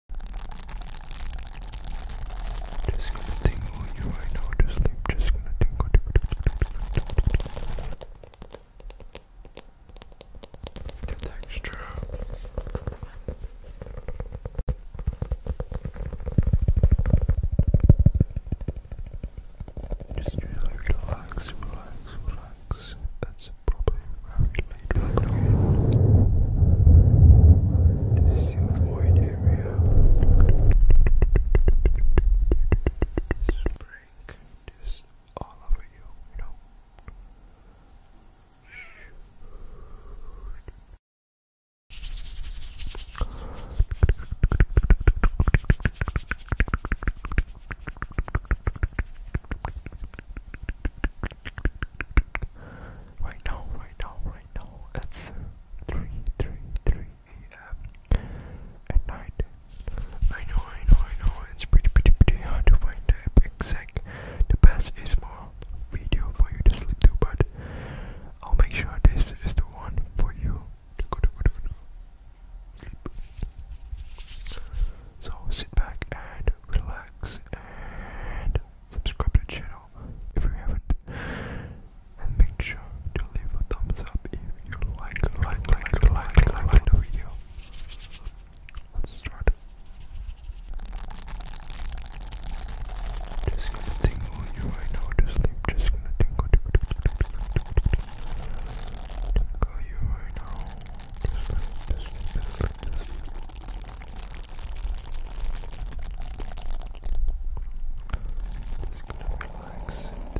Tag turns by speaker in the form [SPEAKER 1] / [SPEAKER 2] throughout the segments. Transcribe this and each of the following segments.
[SPEAKER 1] Just gonna tingle you right now to sleep. Just gonna tingle. texture. Just really relax, relax, relax. That's a very complete focus. This is your void area. Spring just all over you, you know right now, right now, right now, it's 3, a.m. at night. I know, I know, I know, it's pretty, pretty, pretty hard to find the exact, the best ASMR video for you to sleep to, but I'll make sure this is the one for you to go to, So sit back and relax and subscribe to the channel if you haven't, and make sure to leave a thumbs up if you like, like, like, like, like, the video. Let's start. Just gonna tingle you right now to sleep. Just gonna tingle, tingle, you right now. Just, just, just gonna relax.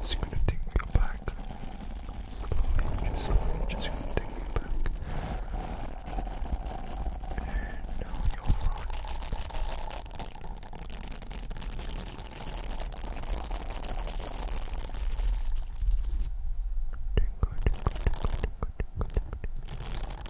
[SPEAKER 1] Just gonna take you back. Slowly, just slowly, just gonna take you back. And now you're on. Tingle, tingle, tingle, tingle, tingle, tingle, tingle.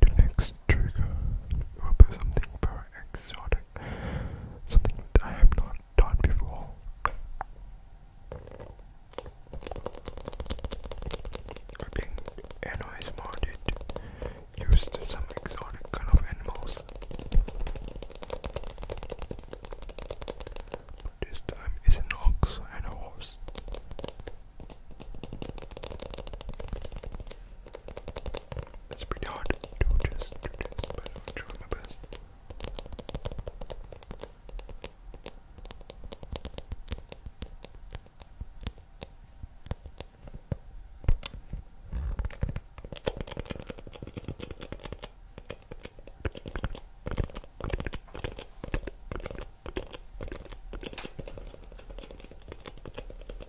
[SPEAKER 1] The next next trigger will be something very exotic, something that I have not done before. I think Anno is used some exotic kind of animals. But this time it's an ox and a horse. It's pretty hard to do this, do this but I'll try my best.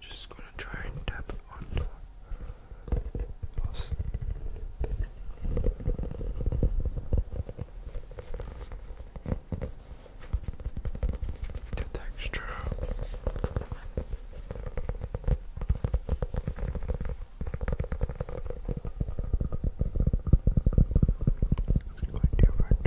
[SPEAKER 1] Just gonna try and tap on the glass. The texture. It's quite different.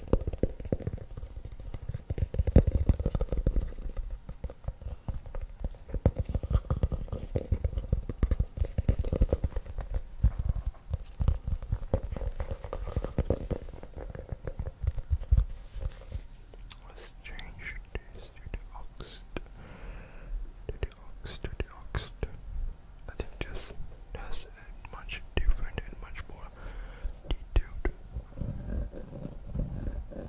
[SPEAKER 1] Let's change to the ox to the ox to the ox. I think just that's much different and much more detailed texture than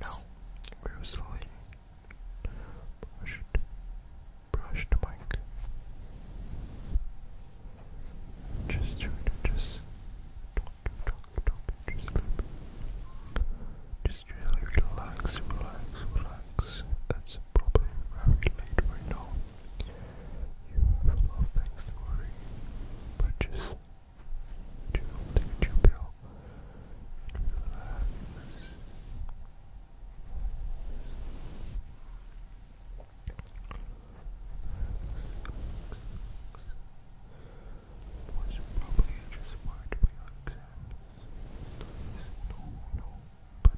[SPEAKER 1] Now we usually brushed, brush the mic. Just try to just don't, don't just, just really relax, relax, relax. It's probably very late right now. You have a lot of things to worry, but just do take your pill and relax. Relax, relax, relax was probably just smart for your exams. Please, no, no, but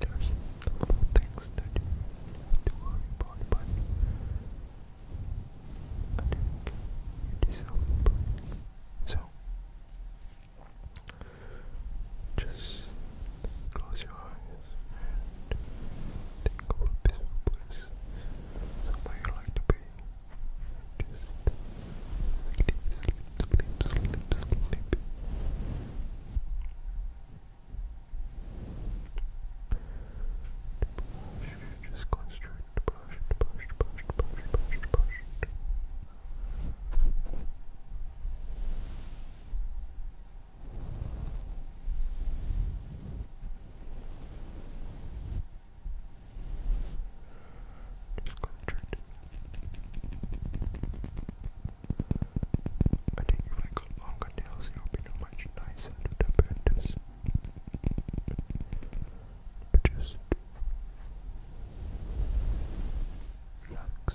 [SPEAKER 1] there's little things that you have to worry about, but I think you deserve a So,
[SPEAKER 2] just close your eyes and think of a peaceful place, somewhere you like to be. Just sleep, sleep, sleep, sleep, sleep. Just concentrate, brush, brush, brush, brush, brush, brush. Just concentrate. I think if I got longer nails, it would be much nicer to the benders. But just relax.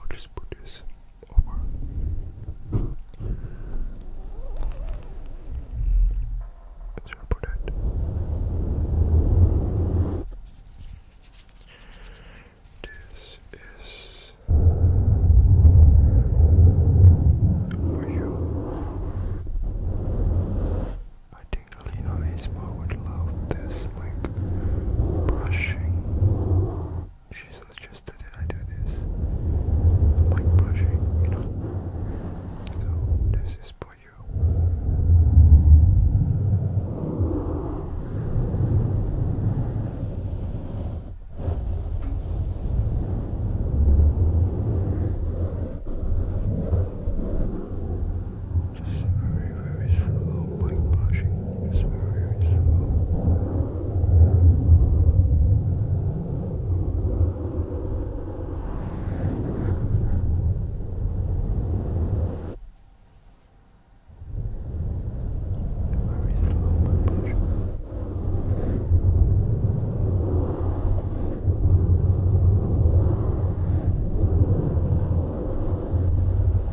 [SPEAKER 2] I'll just put this over. Let's put that. This is for you. I think Lino Isma would love this, like brushing she's interested and I do this. I'm you know. So this is for you. Just very very slow whitewashing. It's very slow. Very slow whitewashing. Very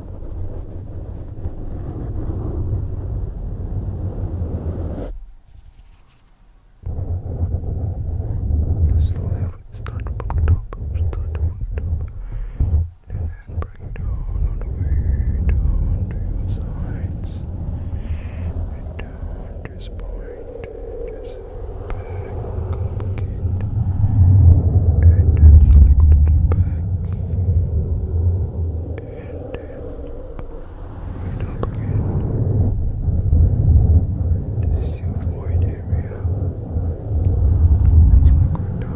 [SPEAKER 2] This is life. Start to up. Start to up. And then bring it all the way down to your sides. And down Just back, up And then slowly go back and don't forget this is your void area let's go down, go down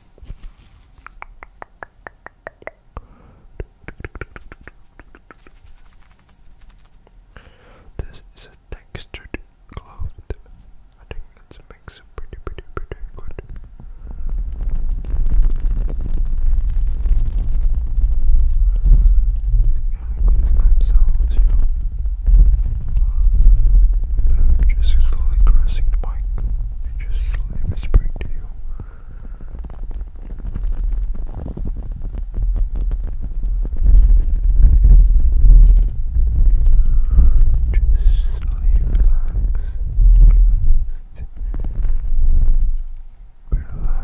[SPEAKER 2] This is a textured cloth. I think it makes it pretty, pretty, pretty good. Themselves, you know. just slowly crossing the mic and just slowly whispering to you. Just slowly relax, relax, relax.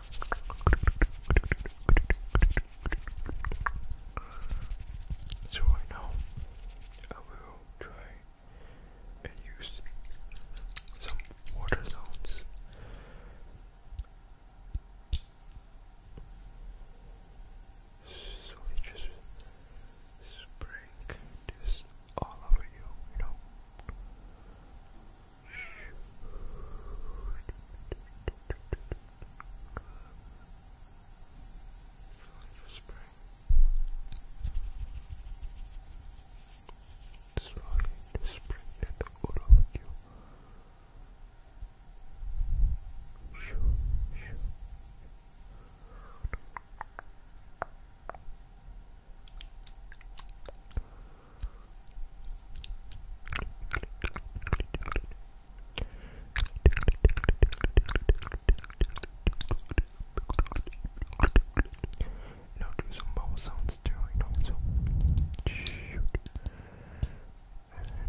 [SPEAKER 2] So now I will try and use some water sounds. So just spraying this all over you, you know. Slowly spread that all over you. Shoo, shoo. Now now do some bubble sounds too, you know, so shoot.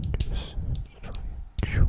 [SPEAKER 2] And just try shoot. Shoot.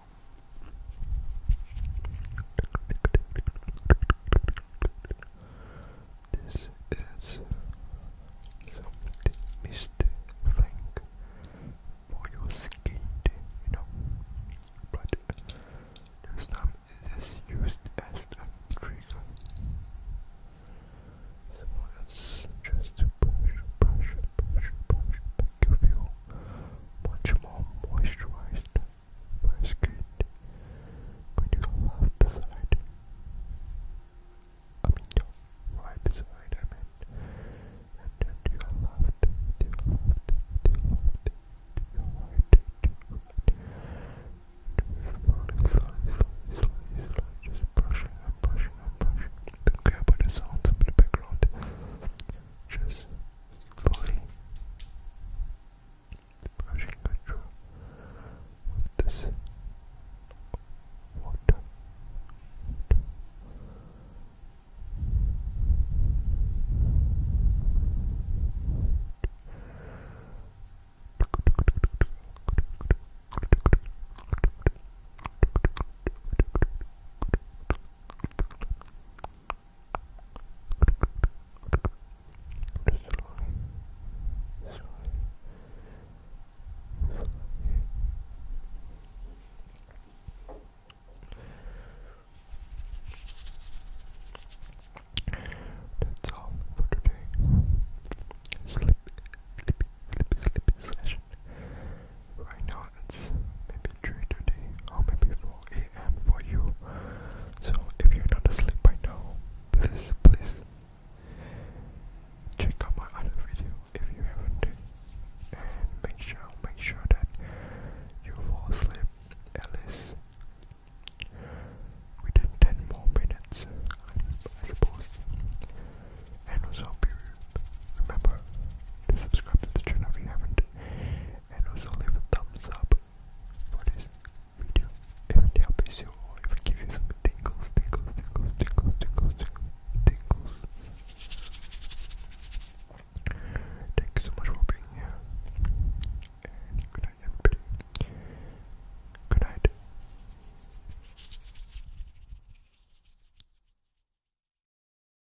[SPEAKER 2] This is something misty thing for your skin, you know. But this time used as a trigger. So let's just push, push, push, push, push, make feel feel much more moisturized my skin when you go left side. I mean your right side I mean and then to your left, to your left, to your left, to your right, to your right. Just slowly, slowly, slowly, slowly, just brushing brushing brushing. Don't care about the sounds in the background. Just fully brushing it through with this water. Good. That's all for today. Sleep, sleep, sleep, sleep session. Right now it's maybe 3 today or oh, maybe 4 a.m. for you. So if you're not asleep by now, please, please check out my other video if you haven't. And make sure, make sure that you fall asleep at within 10 more minutes, I suppose. And also be remember to subscribe to the channel if you haven't and also leave a thumbs up for this video if it helps you or if it gives you some tingles, tingles, tingles, tingles, tingles, tingles, Thank you so much for being here good night everybody. Good night.